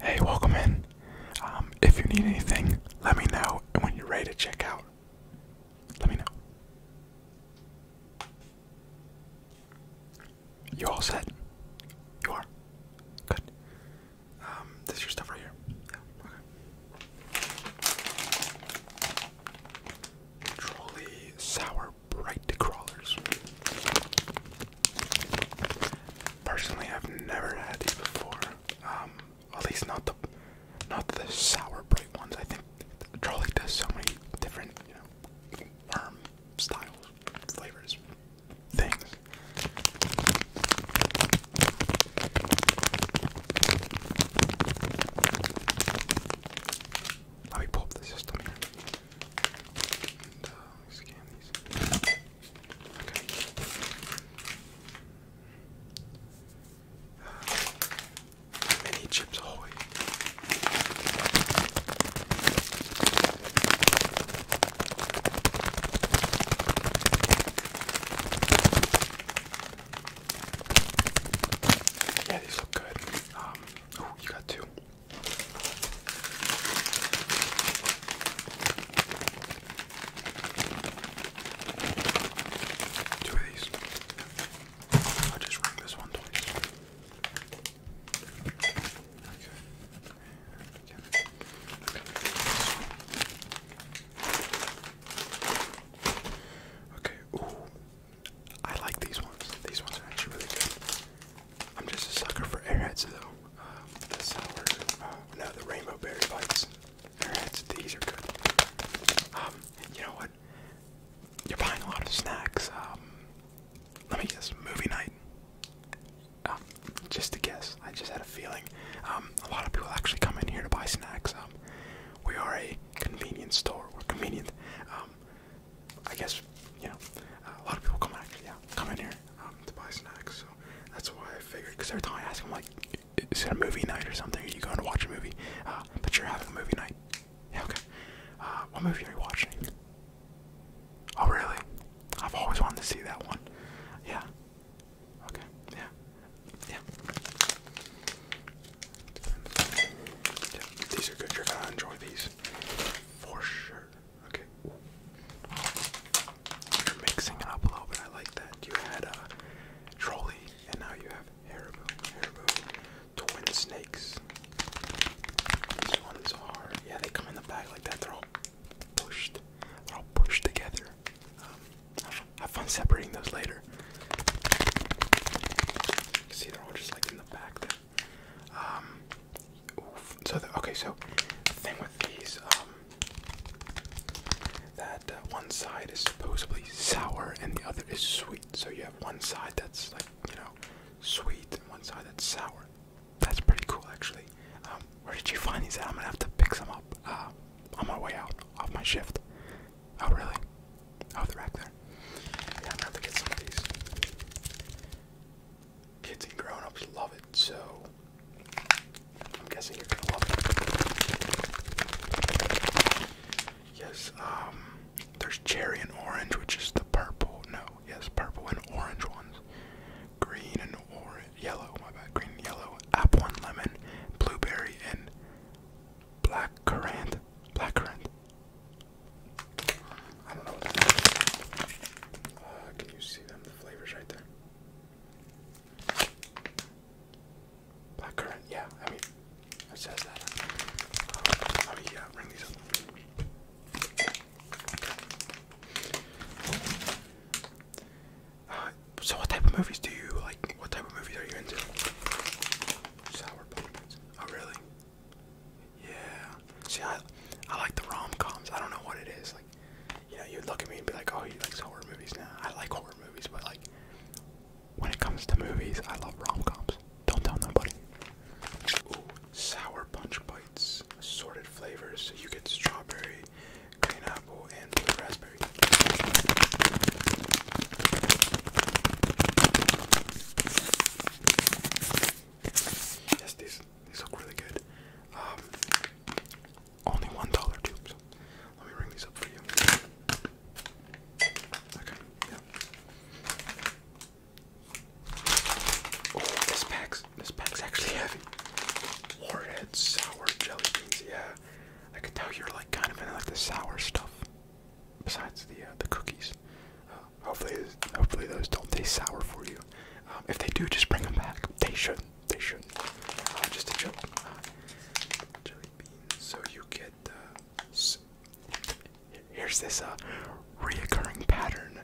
Hey, welcome in. Um, if you need anything, let me know, and when you're ready to check out, let me know. You all set? You are? Good. Um, this your stuff right here. Yeah, okay. Trolley sour bright crawlers. Personally, I've never had these before. Um, at least not the not the sour bright ones. I think Charlie does so many different, you know, worm styles, flavors, things. Let me pull up the system here. Uh, let me scan these. Okay. mini chips ahoy. Yeah, these look good. Um, you got two. Two of these. i just ring this one twice. Okay. Okay. Okay. I like these ones. These ones are actually really good. I'm just a sucker for airheads though. Um, the uh, no, the rainbow berry bites. Airheads, these are good. Um, you know what? You're buying a lot of snacks. Um, let me guess, movie night. Um, just a guess. I just had a feeling. Um, a lot of people actually come in here to buy snacks. Um, we are a convenience store. We're convenient. Um, I guess you know a lot of people come actually yeah come in here um, to buy snacks. So that's why I figured because every time I ask them like, is it a movie night or something? Are you going to watch a movie? Uh, but you're having a movie night. Yeah, okay. Uh, what movie are you watching? Oh really? I've always wanted to see that one. Yeah. Okay. Yeah. Yeah these are good. You're gonna enjoy these for sure. Okay. You're mixing it up a little bit. I like that. You had a uh, trolley, and now you have Haribo. Haribo twin snakes. This one is Yeah, they come in the bag like that. They're all pushed. They're all pushed together. Um, have fun separating those later. You can see they're all just like in the back there. Um, okay, so the thing with these, um, that uh, one side is supposedly sour and the other is sweet. So you have one side that's like you know sweet and one side that's sour. That's pretty cool actually. Um, where did you find these at? I'm gonna have to pick some up uh, on my way out of my shift. Oh, really? Oh, the rack there. Yeah, I'm gonna have to get some of these. Kids and grown ups love it, so I'm guessing you're gonna love it. Yes, um, there's cherry and orange, which is the purple. No, yes, purple and orange ones. Green and orange, yellow, my bad. Green yellow, apple and lemon, blueberry and black currant, black currant. I don't know uh, can you see them? The flavors right there. Black currant, yeah. I mean, it says that. Um, let yeah, uh, bring these up. Uh, so what type of movies do you like? What type of movies are you into? Sour pumpkins. Oh really? Yeah. See, I I like the rom coms. I don't know what it is. Like, you know, you'd look at me and be like, oh, he likes horror movies. Now I like horror movies, but like, when it comes to movies, I love rom coms. Don't tell nobody. Ooh, sour punch bites, assorted flavors. you get strawberry, green apple, and raspberry. Yes, these these look really good. Um, only one dollar tubes. Let me ring these up for you. Okay. Oh, this pack's this pack's actually heavy. Warhead sour jelly beans. Yeah. I can tell you're like kind of into like the sour stuff. Besides the uh, the cookies, um, hopefully hopefully those don't taste sour for you. Um, if they do, just bring them back. They should They should uh, just a joke. jelly uh, beans. So you get. Here's this uh, reoccurring pattern: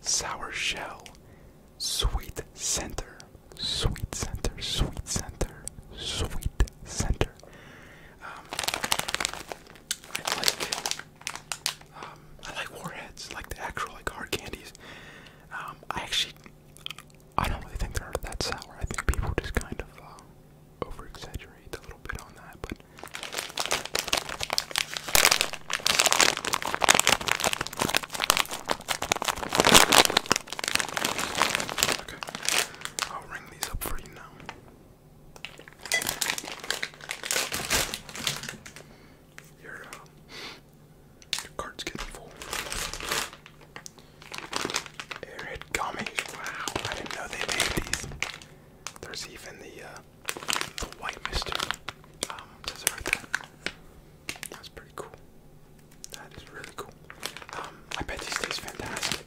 sour shell, sweet center, Sweet Center, Sweet Center, Sweet Center. Um, I like, um, I like warheads, like the actual like hard candies. Um, I actually, I don't really think they're that sour. I think people just kind of uh, a little bit on that, but. Okay, I'll ring these up for you now. Your, uh, your card's getting full. Airhead gummies. Wow, I didn't know they made these. There's even the, uh, the white mystery. Um, does it that's pretty cool. That is really cool. Um, I bet these taste fantastic.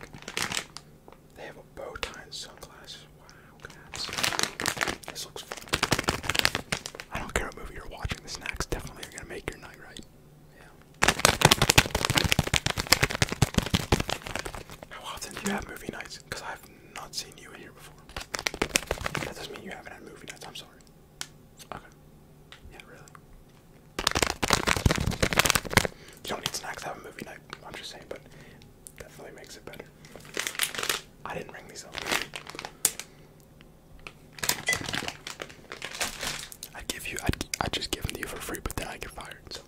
They have a bow tie and sunglasses. Wow, cats. This looks fun. I don't care what movie you're watching, the snacks definitely are gonna make your night right. Yeah. How often do you have movie nights? Because I've not seen you in here before. That doesn't mean you haven't had movie nights, I'm sorry. Okay. Yeah, really. You don't need snacks to have a movie night. I'm just saying, but definitely makes it better. I didn't bring these up. I'd give you, I'd, I'd just give them to you for free, but then I get fired. So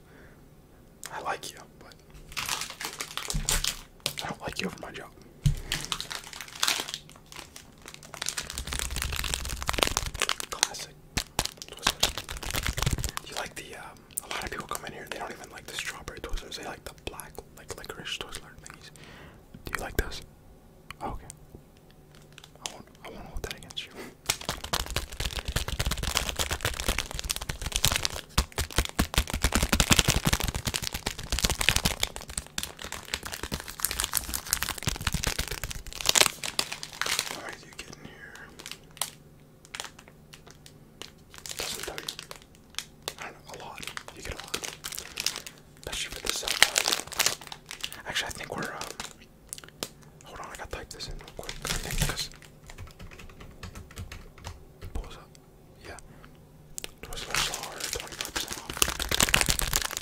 I like you, but I don't like you over my job. Classic. You like the, um, a lot of people come in here, they don't even like the strawberry Twizzlers, they like the black, like licorice Twizzler thingies. Do you like this? okay. I won't, I won't hold that against you. How do you get in here? I don't know, a lot. You get a lot. Especially for the cell Actually, I think we're, um, hold on, I gotta type this in real quick, because, pulls up. Yeah. 25% off.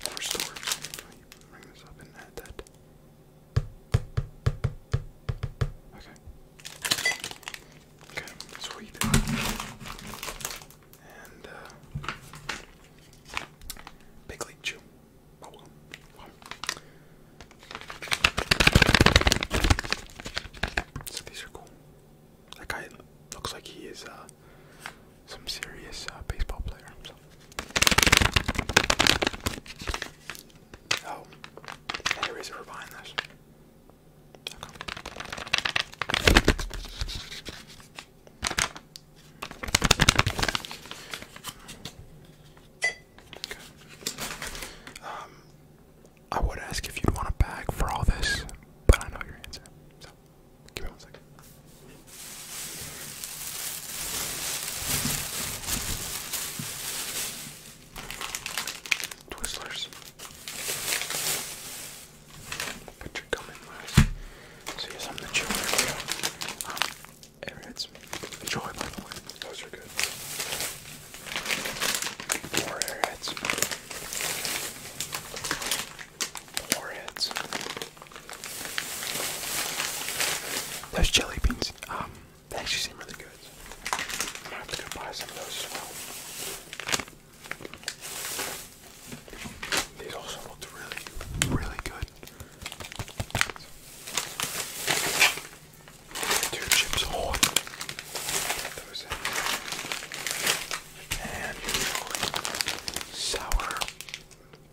More stores. Bring this up and add that. Okay. Okay, sweet. And, uh, Big League Chew. Oh, so these are cool. That guy looks like he is uh, some serious uh, baseball player. Oh, anyways, we're I would ask if you'd want a bag for all this, but I know your answer. So, give me one second. Twistlers. Put your gum in mouth. So you have something to chew on. Um, Enjoy, by the way. Those are good. More airheads. More heads. Those jelly beans, um, they actually seem really good. I'm gonna buy some of those These also looked really, really good two chips whole. And sour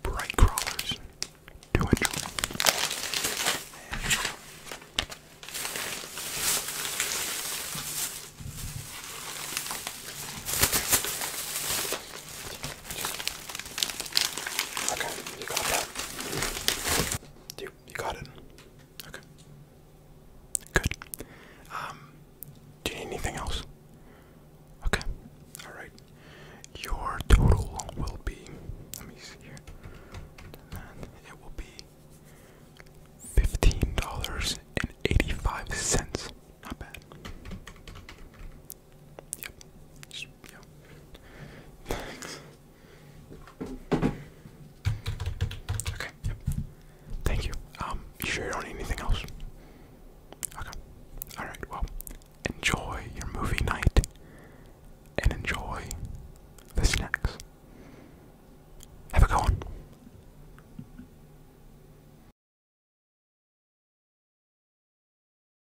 bright crawlers to enjoy. Okay, you got that. You, you got it. Okay. Good. Um, do you need anything else? Okay. All right. Your total will be. Let me see here. it will be fifteen dollars and eighty-five cents. Not bad. yep. Thanks. Okay, yep. Thank you. Um, you sure you don't need anything else? Okay. Alright, well, enjoy your movie night and enjoy the snacks. Have a good one.